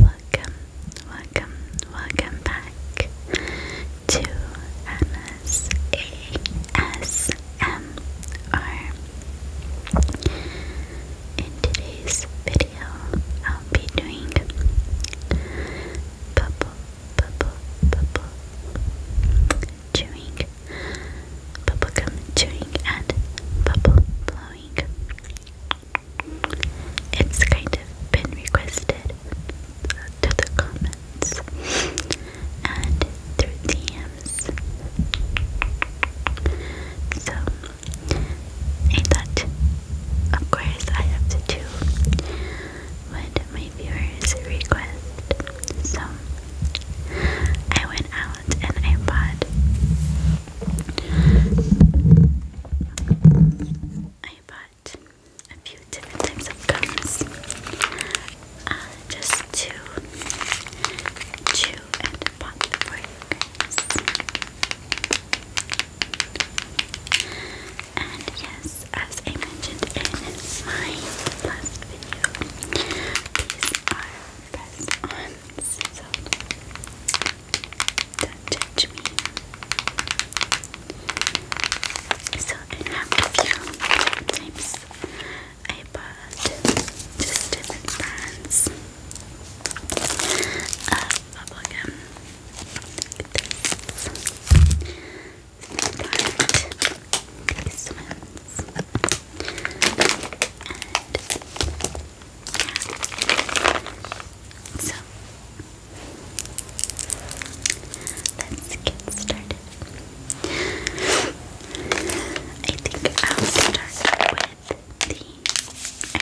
Welcome, welcome, welcome back to Emma's ASMR. In today's video, I'll be doing bubble, bubble, bubble chewing, bubblegum chewing, and bubble blowing. It's kind of been requested to the comments and through DMs. So I thought, of course, I have to do what my viewers request. So I went out and I bought I bought a few different types of gums uh, just to chew and pop for you guys. And yes, as I mentioned in my last video, these are pressed on, so do judge me. So I have a few tips I bought just different brands of bubblegum. Look at this. And so, let's get started. I think I'll start with the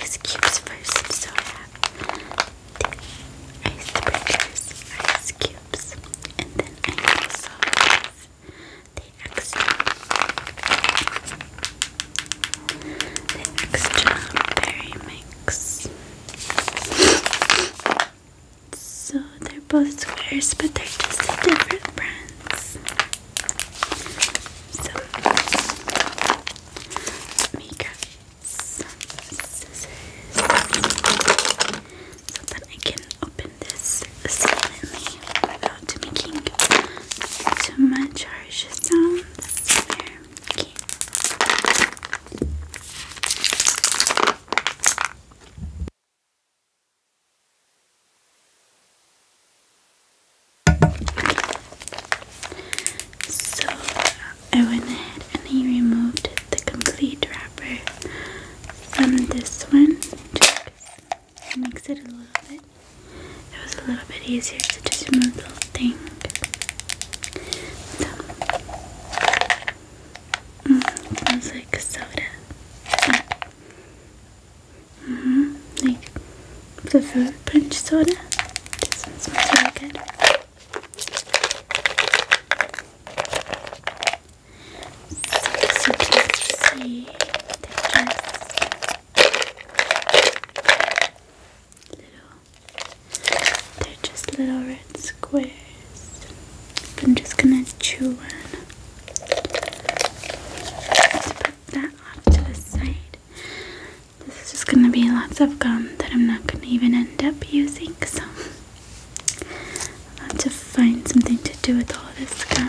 ice cubes first. So, I have the ice cubes, and then I also have the extra the extra mix. So they're both squares, but they're just different brands. some scissors so I can open this silently much so I went ahead and I removed the complete wrapper from this one. Just mix it a little bit it was a little bit easier to just remove the thing. So, smells mm, like soda. Oh. Mm hmm like the fruit punch soda. This one smells really good. So, so you they're just little red squares. I'm just gonna chew one. Let's put that off to the side. This is just gonna be lots of gum that I'm not gonna even end up using, so i have to find something to do with all this gum.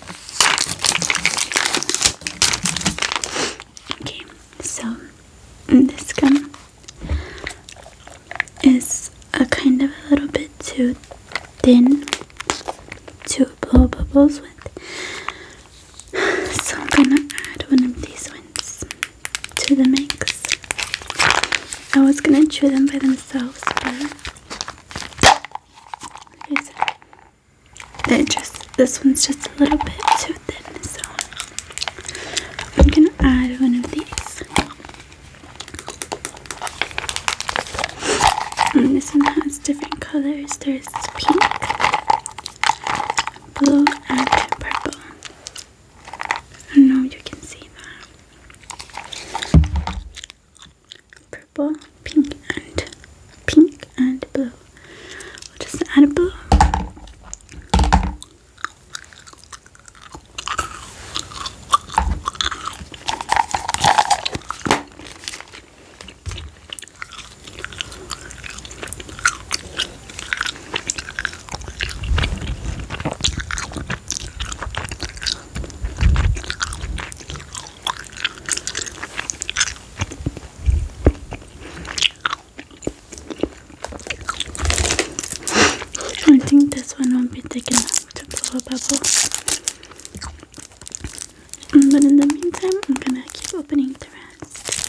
Okay, so mm, this gum is a kind of a little bit too thin to blow bubbles with. So I'm gonna add one of these ones to the mix. I was gonna chew them by themselves, but it just this one's just a little bit too thin, so I'm gonna add one of these. And this one has different colors. There's pink, blue, and purple. I know you can see that purple, pink, and pink and blue. We'll just add blue. I think this one won't be thick enough to blow a bubble. Mm, but in the meantime, I'm gonna keep opening the rest.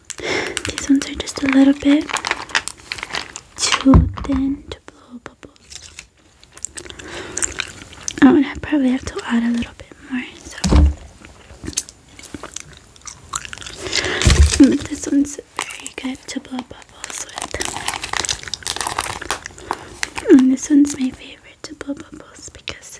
These ones are just a little bit too thin to blow bubbles. Oh, and I probably have to add a little bit more. So, but this one's very good to blow bubbles with. And this one's my favorite to blow bubbles because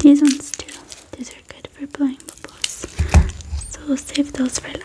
These ones too. These are good for blowing bubbles. So we'll save those for last.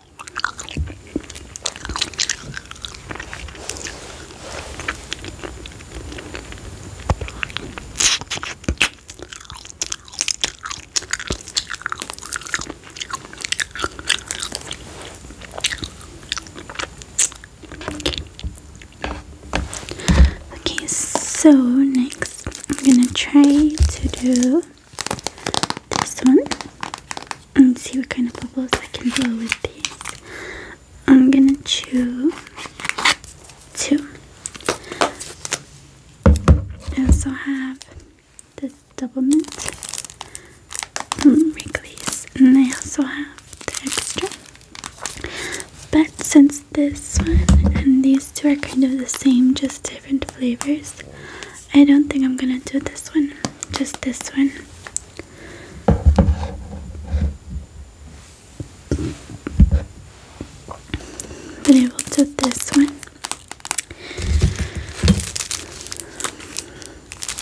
Okay, so next I'm gonna try to do this one and see what kind of bubbles I can blow with these. I'm gonna chew two. I also have the double mint Wrigley's and I also have the extra. But since this one and these two are kind of the same, just different flavors, I don't think I'm gonna do this one, just this one. But I will do this one.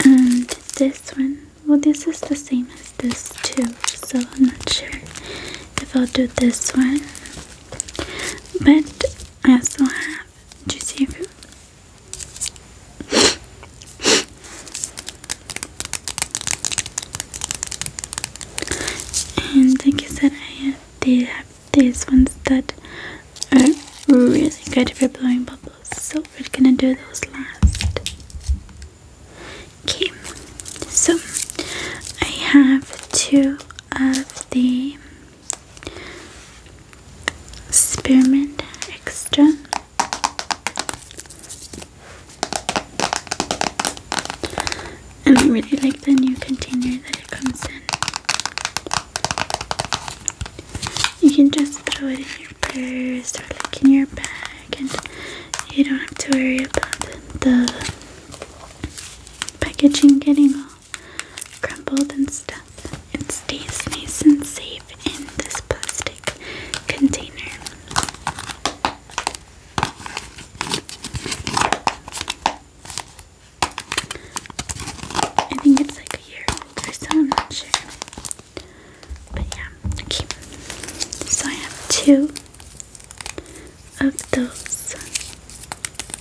And this one. Well, this is the same as this too, so I'm not sure if I'll do this one. But I also have have juicy food. And like I said, I did have these ones that are really good for blowing bubbles. So we're gonna do those last. Okay, so I have two of the spearmint extra. And I really like the new container that it comes in. You can just throw it in your purse or like in your bag, and you don't have to worry about the packaging getting off crumbled and stuff. It stays nice and safe in this plastic container. I think it's like a year old or so, I'm not sure. But yeah, okay. So I have two of those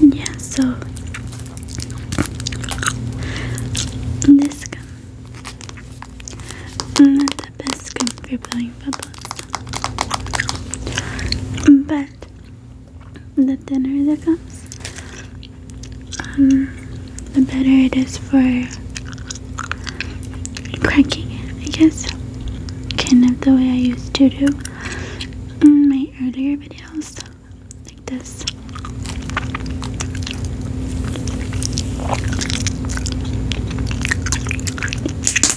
Yeah, so this gun not the best gun for playing, but but the thinner it gets, um, the better it is for cracking I guess. Kind of the way I used to do in my earlier videos, like this.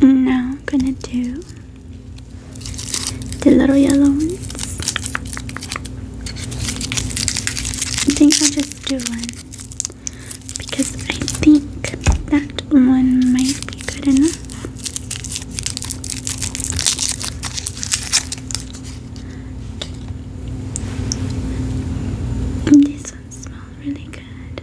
Now I'm gonna do the little yellow ones. I think I'll just do one because I think that one might be good enough. this one smells really good.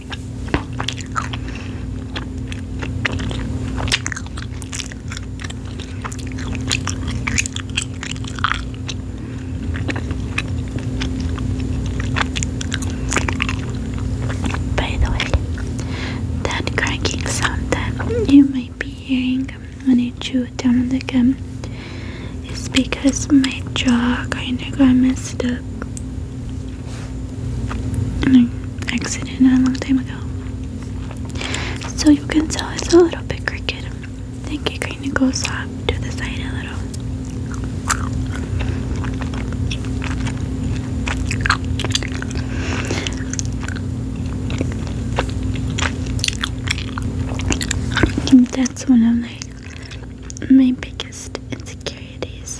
By the way, that cracking sound that you might be hearing when I chew down the gum is because my jaw kind of got messed up. I exited a long time ago. So you can tell it's a little bit crooked. think it kind of goes up to the side a little. that's one of like my biggest insecurities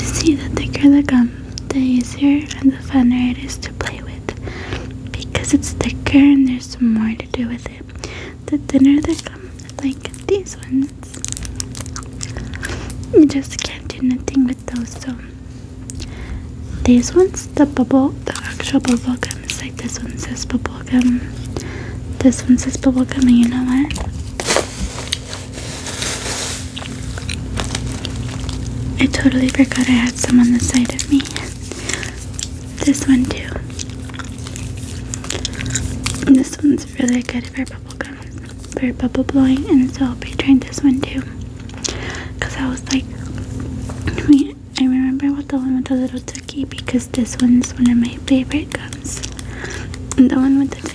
See, the thicker the gum, the easier and the funner it is to play with because it's thicker and there's more to do with it the dinner that come like these ones. You just can't do nothing with those. So these ones, the bubble, the actual bubble gum is like this one says bubble gum. This one says bubble gum, and you know what? I totally forgot I had some on the side of me. This one too. this one's really good for bubble gum, for bubble blowing, and so I'll be trying this one too. Cause I was like, I, mean, I remember what the one with the little tookie because this one's one of my favorite gums. And the one with the tookie.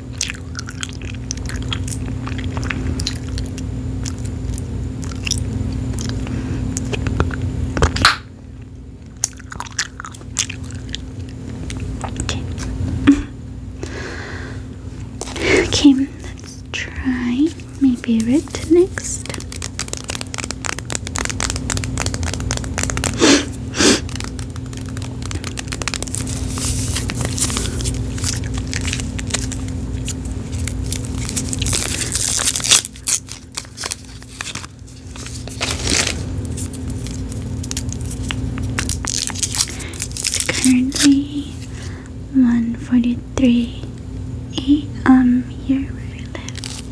Okay. okay, let's try maybe red next currently one forty-three a.m. here we live.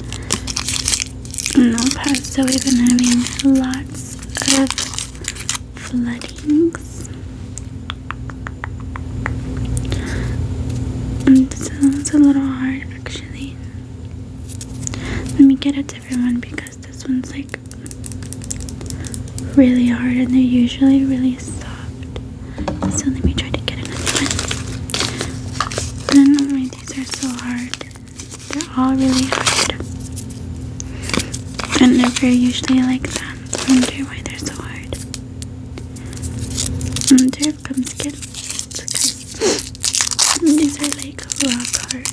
In El Paso, we've been having lots of floodings and this sounds a little hard actually let me get a different one because this one's like really hard and they're usually really soft so let me try to get another one I don't know why these are so hard they're all really hard. And they're usually like that. I wonder why they're so hard. I wonder if comes skin. Okay. These are like rock hard.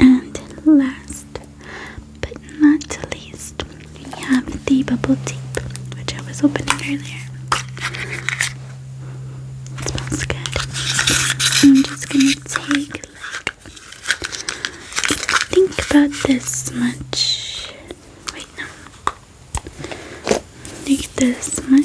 and last but not least, we have the bubble tape, which I was opening earlier smells good. I'm just gonna take like think about this much. Wait no. Take this much.